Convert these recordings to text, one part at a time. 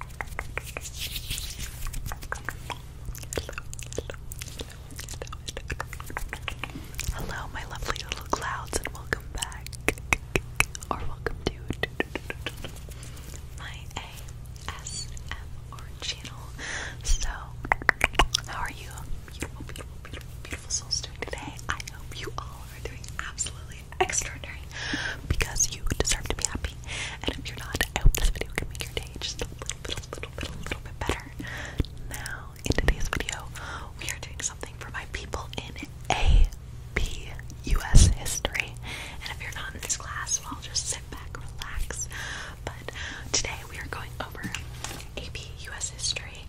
Hello, my lovely little clouds, and welcome back. Or welcome to my ASMR channel. So, how are you? Beautiful, beautiful, beautiful, beautiful souls doing today. I hope you all are doing absolutely extraordinary because you deserve to be happy. And if you're not, I hope this video can make your day just a little, little, little, little, little bit better. Now, in today's video, we are doing something for my people in AP US history. And if you're not in this class, well, just sit back, relax. But today we are going over AP US history,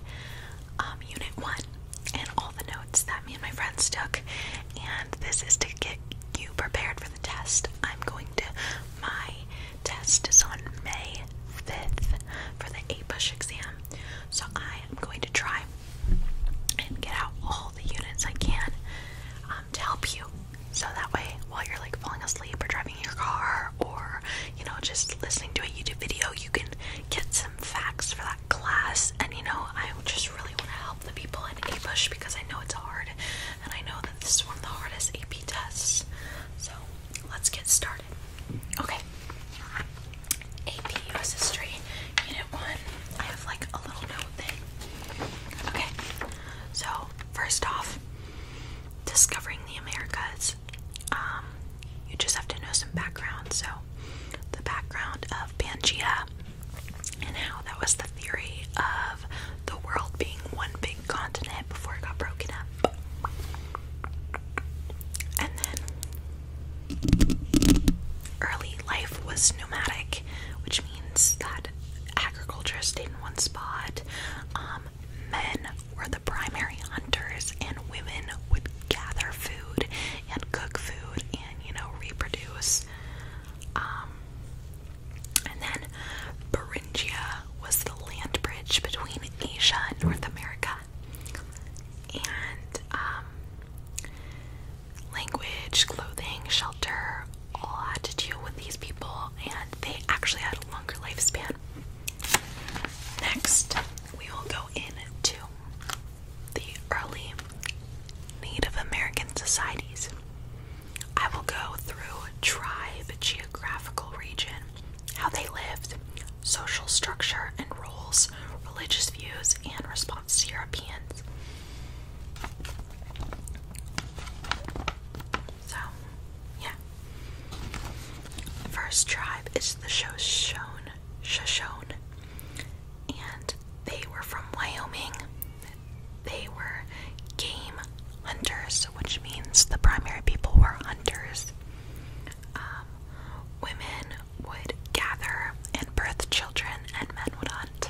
um, Unit 1, and all the notes that me and my friends took. And this is to get you prepared for the test. I'm going to, my test is on May 5th for the APUSH exam. So I am going to try and get out all the units I can um, to help you. So that way, while you're like falling asleep or driving your car or, you know, just listening to a YouTube video, you can get some facts for that class. And, you know, I just really want to help the people in APUSH because I know it's hard and I know that this is one of the hardest AP tests. So let's get started. Okay. AP US History, Unit 1. I have like a little note thing. Okay. So, first off, discovering the Americas. Um, you just have to know some background. So, the background of Pangea and how that was the theory of the world being one big continent before it got broken up. And then early life was nomadic, which means that agriculture stayed in one spot. Um, men were the primary hunters, and women would gather food and cook food and, you know, reproduce. Um, and then Beringia was the land bridge between Asia and North America. And um, language, clothing, shelter all had to deal with these people, and they actually had a longer lifespan. Next, we will go into the early Native American societies. I will go through tribe, geographical region, how they lived, social structure and rules, religious views, and response to Europeans. So, yeah. First tribe is the Shoshone, Shoshone, and they were from Wyoming they were game hunters, which means the primary people were hunters. Um, women would gather and birth children, and men would hunt.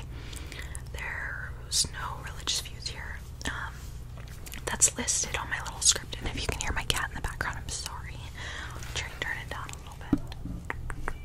There was no religious views here. Um, that's listed on my little script, and if you can hear my cat in the background, I'm sorry. I'll try and turn it down a little bit.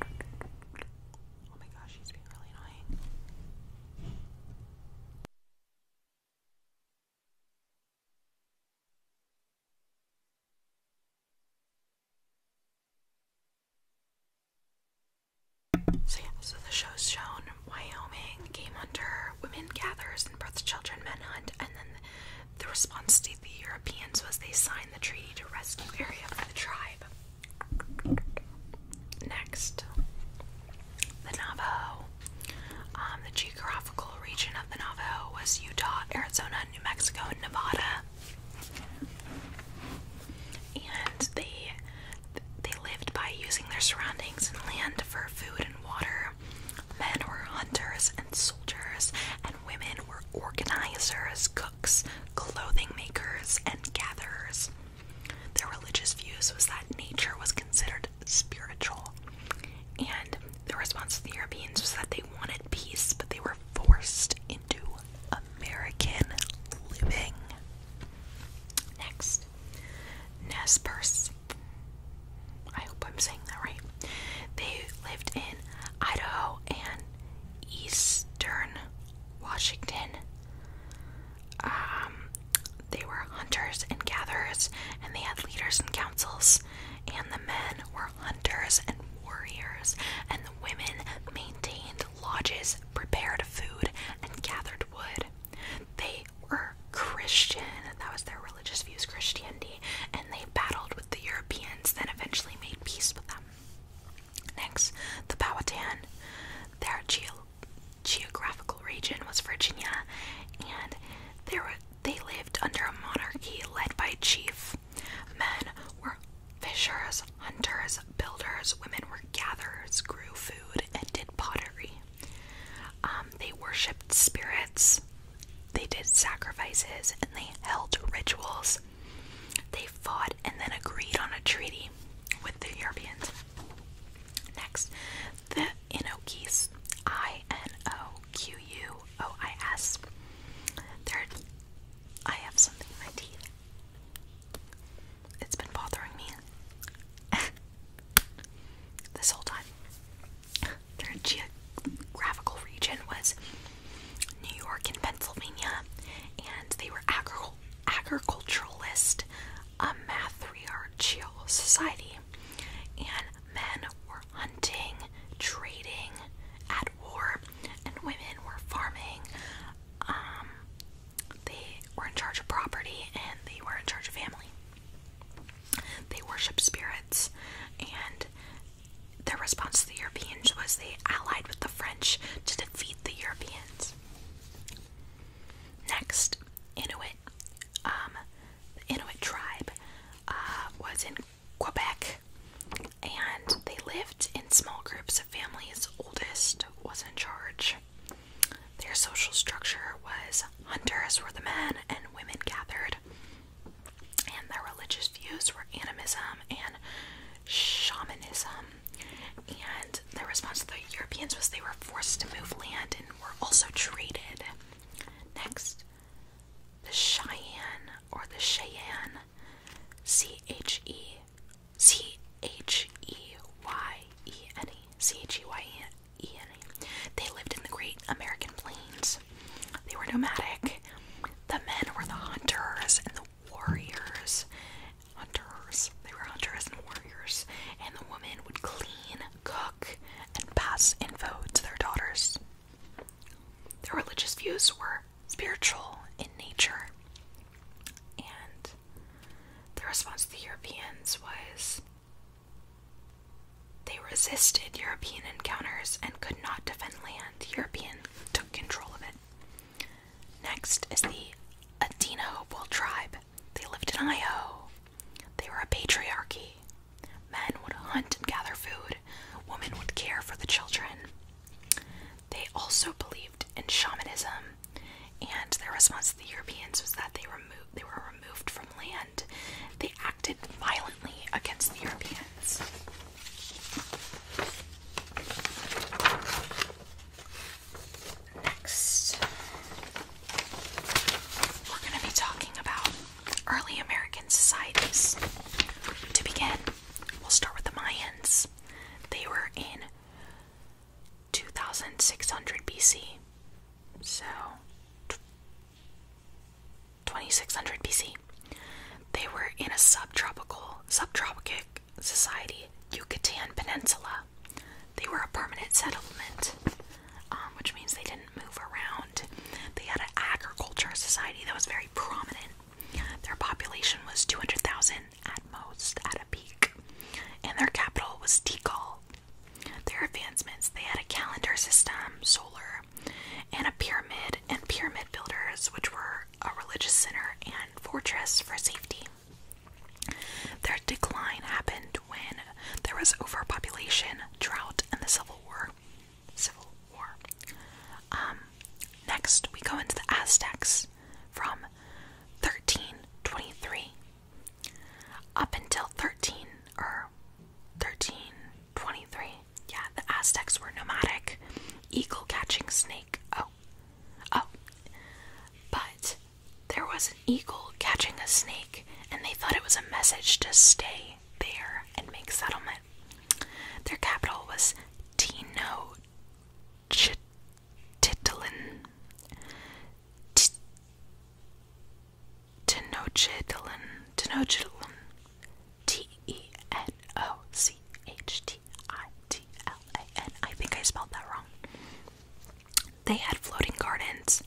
Oh so the show's shown Wyoming, Game Hunter, Women Gatherers and birth Children Men Hunt, and then the response to the Europeans was they signed the treaty to rescue area for the tribe. Next, the Navajo. Um, the geographical region of the Navajo was Utah, Arizona, New Mexico, and Nevada. And they they lived by using their surroundings and land for food and water. Men were hunters and soldiers, and women were organizers, cooks, clothing makers, and gatherers. Their religious views was that nature was considered spiritual, and the response to the Europeans was that they wanted peace, but they were forced into American living. Next, Nez I hope I'm saying that right. They lived in Idaho and eastern Washington. Um, they were hunters and gatherers, and they had leaders and councils. And the men were hunters and warriors, and the women maintained lodges, prepared food, and gathered wood. They were Christian, that was their religious views, Christianity, and they battled with the Europeans, then eventually made peace with them. Next, the Powhatan. Their geo geographical region was Virginia, and they, were, they lived under a monarchy led by a chief. Men were fishers, hunters, builders, women were gatherers, grew food, and did pottery. Um, they worshipped spirits, they did sacrifices, and they held rituals. They fought and then agreed on a treaty with the Europeans. Next, the Inokis. I N O Q U O I S. There, I have something in my teeth. It's been bothering me this whole time. Their geographical region was New York and Pennsylvania, and they were agricultural agricultural agriculturalist, a matriarchal society, and men were hunting, trading, at war, and women were farming. Um, they were in charge of property and they were in charge of family. They worshipped spirits, and their response to the Europeans was they allied with the French to defeat the Europeans. Next, Inuit. the um, Inuit tribe uh, was in Quebec, and they lived in small groups of families. Oldest was in charge. Their social structure was hunters were the men and women gathered, and their religious views were animism and shamanism and the response to the Europeans was they were forced to move land and were also traded. Next, the Cheyenne or the Cheyenne, C H E C H E Y E N E C H E Y E N E. They lived in the Great American Plains. They were nomadic. The men were the hunters and the warriors, hunters. They were hunters and warriors, and the women would clean, cook, and pass info to their daughters. Their religious views were spiritual in nature, and the response to the Europeans was they resisted European encounters and could not defend land. Europeans took control of it. Next is the Adena Hopewell tribe. They lived in Iowa. They were a patriarchy. Men would hunt and gather food, women would care for the children. They also believed in shamanism, and their response to the Europeans was that they were removed from land. They acted violently against the Europeans. Next, we're going to be talking about early American societies. To begin, we'll start with the Mayans. They were in 2600 BC. So, 2600 BC. They were in a subtropical, subtropic, Society, Yucatan Peninsula. They were a permanent settlement, um, which means they didn't move around. They had an agriculture society that was very prominent. Their population was 200,000 at most, at a peak, and their capital was Tikal. Their advancements they had a calendar system, solar, and a pyramid, and pyramid builders, which were a religious center and fortress for safety. Their decline happened when there was overpopulation, drought, and the Civil War. Civil War. Um, next, we go into the Aztecs from 1323 up until 13 or 1323. Yeah, the Aztecs were nomadic, eagle catching, snake. Oh, oh, but there was an eagle catching a snake, and they thought it was a message to stay there and make settlement. Their capital was Tino Titlin. Tenochtitlan. Tenochtitlan. T E N O C H T I T L A N. I think I spelled that wrong. They had floating gardens,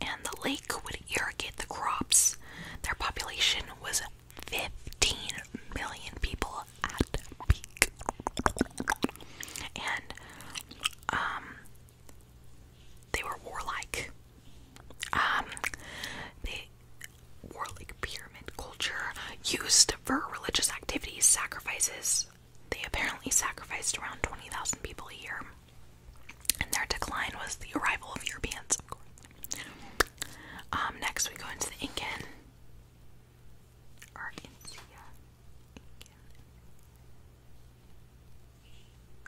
and the lake would irrigate the crops. Their population was 15 million people at peak. And um they were warlike. Um they warlike pyramid culture used for religious activities, sacrifices, they apparently sacrificed around 20,000 people a year, and their decline was the arrival of Europeans, um, next, we go into the Incan.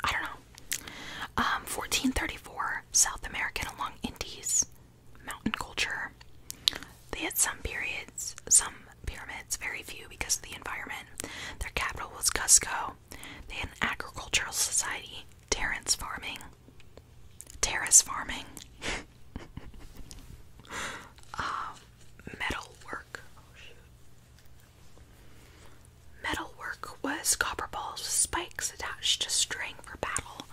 I don't know. 1434, um, South American along Indies, mountain culture. They had some periods, some pyramids, very few because of the environment. Their capital was Cusco. They had an agricultural society, terrace farming. Terrace farming. metal work. Metal work was copper balls with spikes attached to string for battle,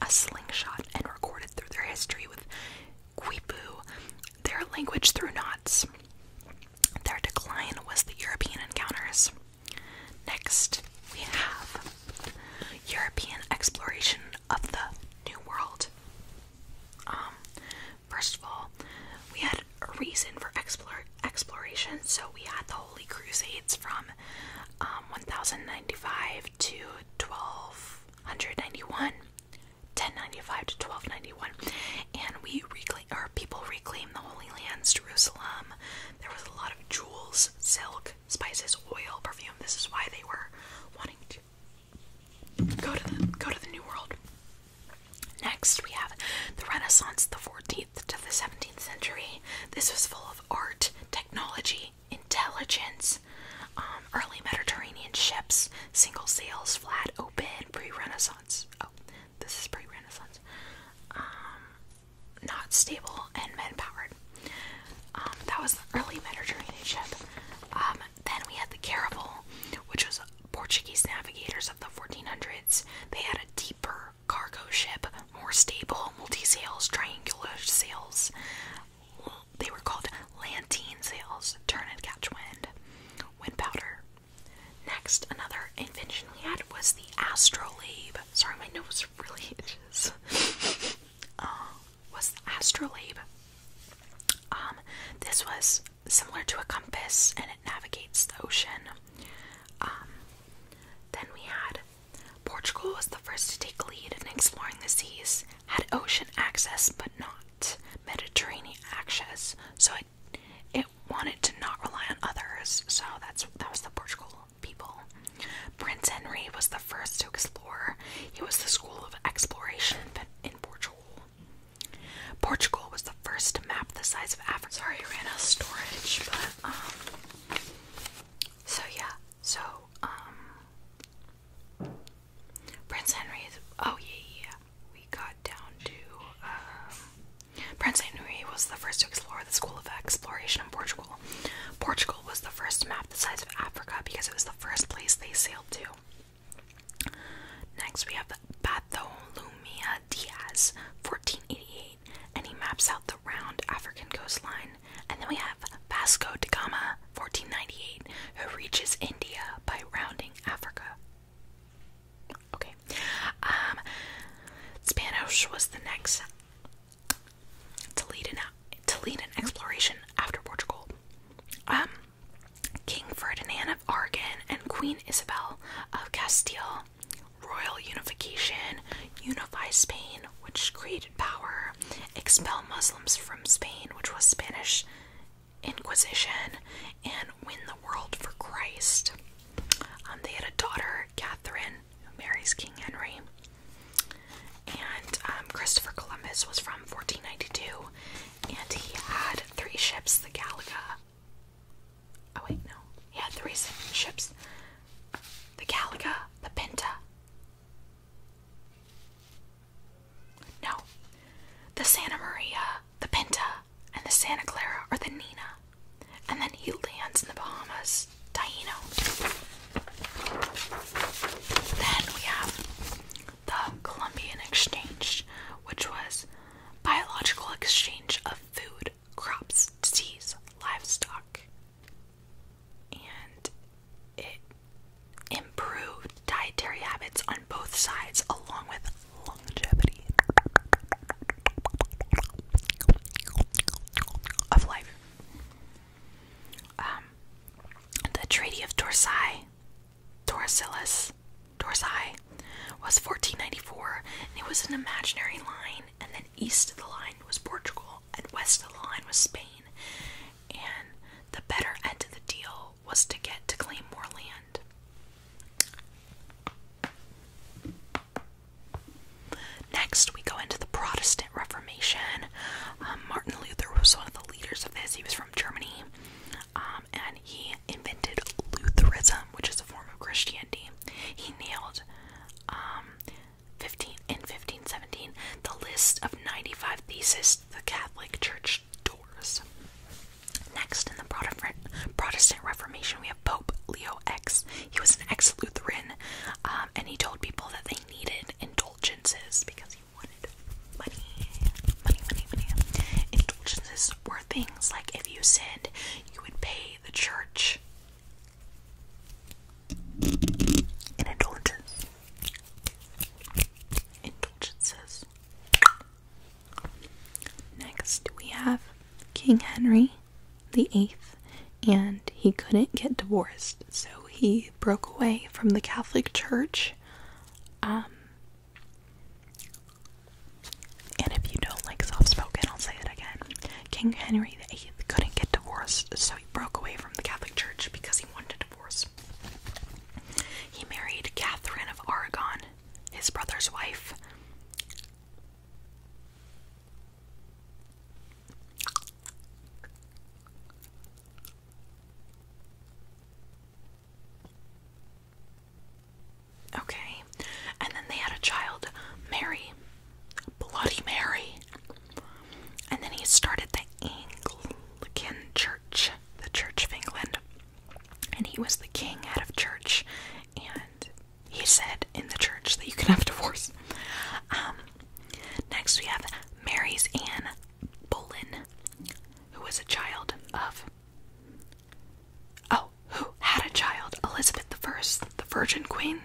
a slingshot, and recorded through their history with Quipu their language through knots. Their decline was the European encounters. Next, we have European exploration of the New World. Um, first of all, we had a reason for explore exploration, so we had the Holy Crusades from um, 1095 to 1291. 1095 to 1291, and we reclaim our people reclaim the Holy Lands, Jerusalem. There was a lot of jewels, silk, spices, oil, perfume. This is why they were wanting to go to the go to the New World. Next, we have the Renaissance, the 14th to the 17th century. This was full of art, technology, intelligence. Um, early Mediterranean ships, single sails, flat open, pre-Renaissance. Oh, this is pre-Renaissance. Um, not stable and men-powered. Um, that was the early Mediterranean ship. Um, then we had the caravel, which was Portuguese navigators of the 1400s. They had a deeper cargo ship, more stable, multi-sails, triangular sails they were called Lantene sails, Turn and catch wind. Wind powder. Next, another invention we had was the Astrolabe. Sorry, my nose really itches. Uh, was the Astrolabe. Um, this was similar to a compass and it navigates the ocean. Um, then we had Portugal was the first to take lead in exploring the seas had ocean access but not Mediterranean access, so it it wanted to not rely on others. So that's that was the Portugal people. Prince Henry was the first to explore. He was the school of exploration in Portugal. Portugal was the first to map the size of Africa. Sorry, I ran out of storage, but um. So yeah, so um, Prince Henry Oh, yeah, yeah. We got down to. Um, Prince Henry was the first to explore the school of exploration in Portugal. Portugal was the first to map the size of Africa because it was the first place they sailed to. Next, we have the Diaz, 1488, and he maps out the round African coastline. And then we have Vasco da Gama, 1498, who reaches India by rounding Africa. Okay. Um, Spanish was the next to lead an exploration after Portugal. Um, King Ferdinand of Aragon and Queen Isabel of Castile. Royal unification unify Spain, which created power, expel Muslims from Spain, which was Spanish Inquisition and win the world for Christ. Um, they had a daughter, Catherine, who marries King Henry. And um, Christopher Columbus was from 1492, and he had three ships, the Galaga. Oh, wait, no. He had three ships the Galaga, the Pinta, no. The Santa Maria, the Pinta, and the Santa Clara are the Nina. And then he lands in the Bahamas, Taino. Then we have the Columbian Exchange, which was biological exchange of food, crops, seeds, livestock. And it improved dietary habits on both sides, along with longevity of life. Um, the Treaty of Torsai, Torsilis, Torsai, was 1494, and it was an imaginary line. And then east of the line was Portugal, and west of the line was Spain. And the better end of the deal was to get to claim more land. Next, we go into the Protestant Reformation. Um, Martin Luther was one of the leaders of this. He was from Germany, um, and he invented Lutheranism, which is a form of Christianity. He nailed, um, 15 in 1517, the list of 95 theses to the Catholic Church doors. Next, in the Protestant Reformation, we have Pope Leo X. He was an ex Lutheran, um, and he told people that they needed indulgences because he wanted money. Money, money, money. Indulgences were things like if you sinned, you would pay the church an Indulgences. Next, we have King Henry the Eighth, and he couldn't get divorced, so he broke away from the Catholic Church. Um, and if you don't like soft spoken, I'll say it again. King Henry VIII couldn't get divorced, so he broke away from the Catholic Church because he wanted divorce. He married Catherine of Aragon, his brother's wife. Okay, and then they had a child, Mary, Bloody Mary. And then he started the Anglican Church, the Church of England and he was the king out of church, and he said in the church that you can have divorce. Um, next we have Mary's Anne Boleyn, who was a child of oh, who had a child, Elizabeth I, the Virgin Queen,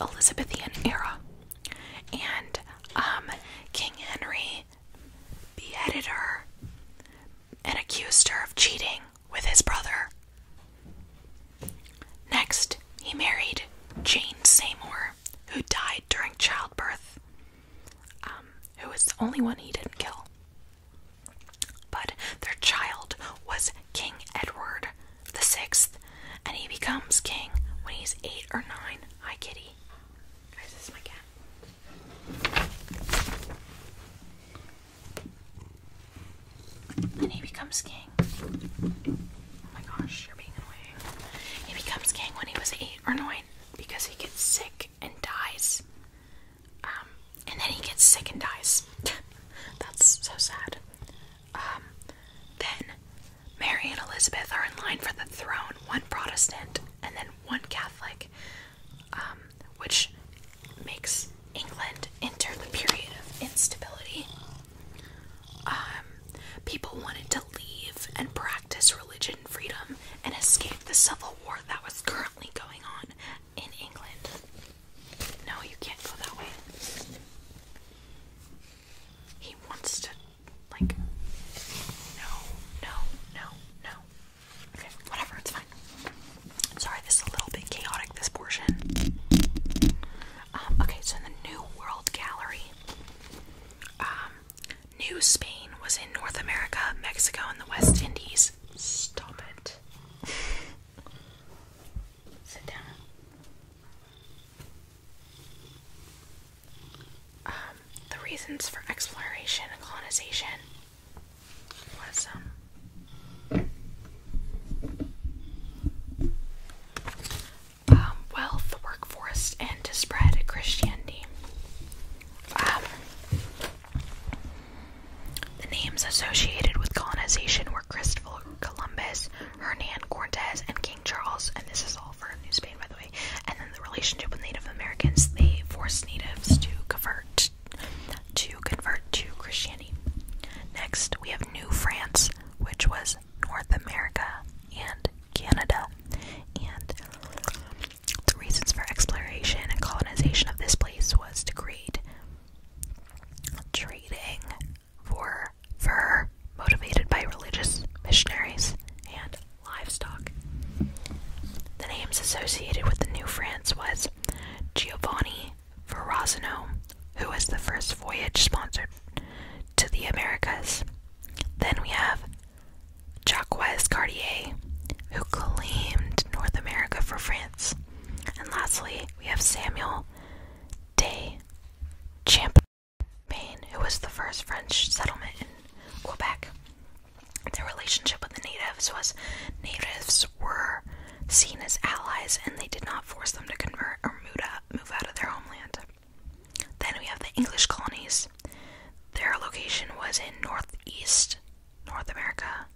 Elizabethan era, and um, King Henry he beheaded her and accused her of cheating with his brother. Next, he married Jane Seymour, who died during childbirth, um, who was the only one he didn't kill. But their child was King Edward the Sixth, and he becomes king when he's eight or nine. Hi, kitty. Guys, this is my cat. And he becomes king. Oh my gosh, you're being annoying. He becomes king when he was eight or nine because he gets sick and dies. Um, and then he gets sick and dies. That's so sad. Um, then Mary and Elizabeth are in line for the throne, one Protestant and then one Catholic. Um, which makes England enter the period of instability. Um, people wanted to leave and practice religion freedom and escape the civil war that was currently going on in England. No, you can't go that way. He wants to, like, no, no, no, no. Okay, whatever, it's fine. Sorry, this is a little bit chaotic, this portion. Um, okay, so in the New World Gallery, um, New Spain was in North America, Mexico, and the West Indies. Stop it. Sit down. Um, the reasons for exploration and colonization was um, um wealth, workforce, and to spread Christianity. Um, the names associated with colonization were Christopher Columbus, Hernan Cortez, and King Charles, and this is all for New Spain, by the way. And then the relationship with Native Americans, they forced natives to convert to convert to Christianity. Next, we have New France, which was North America and Canada. And the reasons for exploration and colonization of this place was to create trading for fur motivated by religious missionaries and livestock. The names associated with the New France was Giovanni Verrazano, who was the first voyage sponsored to the Americas. Then we have Jacques Cartier, who claimed North America for France. And lastly, we have Samuel de Champlain, who was the first French settlement in Quebec. Their relationship with the natives was natives were seen as allies and they did not force them to convert or move out, of their homeland. Then we have the English colonies. Their location was in northeast North America,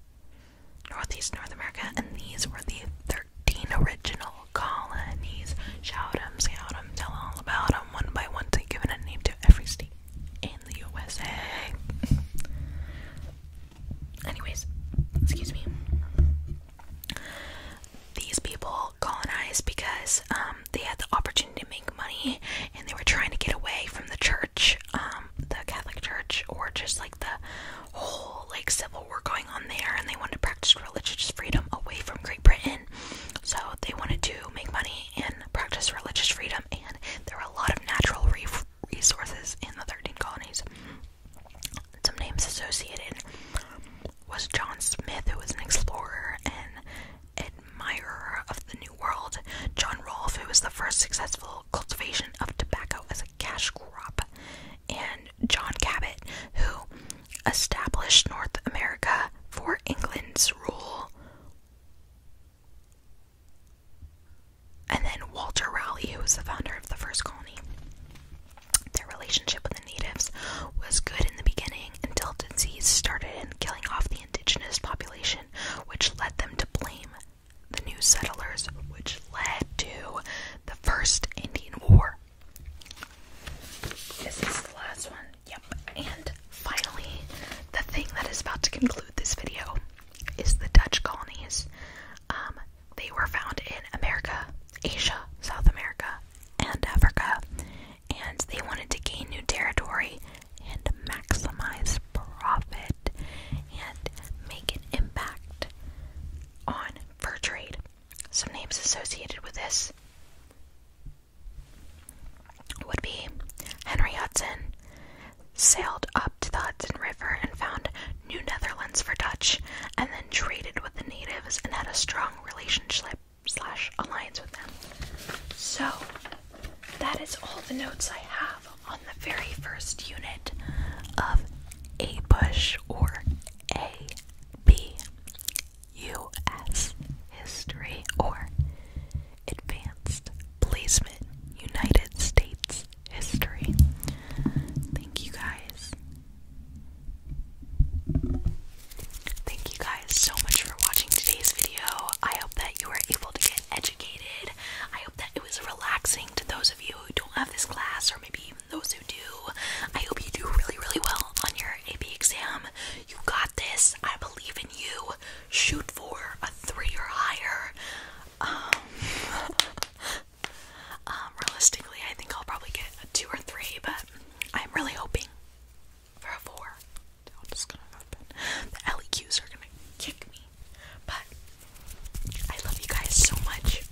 northeast North America, and these were the 13 original colonies. Shout them, shout them, tell all about them, one by one, to give a name to every state in the USA. Anyways, excuse me. These people colonized because um, they had the opportunity to make money and they were trying to get away from the church, um, the Catholic Church, or just like the whole like civil war going on there, and they wanted to practice religious freedom away from Great Britain. So they wanted to make money and practice religious freedom, and there were a lot of natural resources in the 13 colonies. Some names associated was John Smith, who was an explorer and admirer of the New World, John Rolfe, who was the first successful cultivation of tobacco as a cash crop, and John Cabot, who established North America for England's rule and then Walter Raleigh, who was the founder of the first colony. Their relationship with the natives was good in the beginning until disease started and killing off the indigenous population, which led them to blame the new settlers, which led to the first Indian War. This is the last one. Yep. And finally, the thing that is about to conclude this video is the Dutch colonies. Um, they were found in America, Asia, South America, and Africa, and they wanted to gain new territory and maximize profit and make an impact on fur trade. Some names associated with this would be Henry Hudson sailed up to the Hudson River and found New Netherlands for Dutch, and then traded with the natives and had a strong relationship slash alliance with them. So that is all the notes I have on the very first unit of A Bush or A B U S history or advanced placement United States history. Thank you guys. Thank you guys so much for watching today's video. I hope that you were able to get educated. I hope that it was relaxing to those of you who don't have this class, or maybe even those who do. I hope you do really, really well on your AP exam. You got this. I believe in you shoot for a three or higher. Um, um, realistically, I think I'll probably get a two or three, but I'm really hoping for a 4 The LEQs are gonna kick me, but I love you guys so much,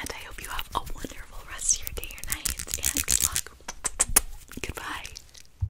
and I hope you have a wonderful rest of your day or night. And good luck. Goodbye.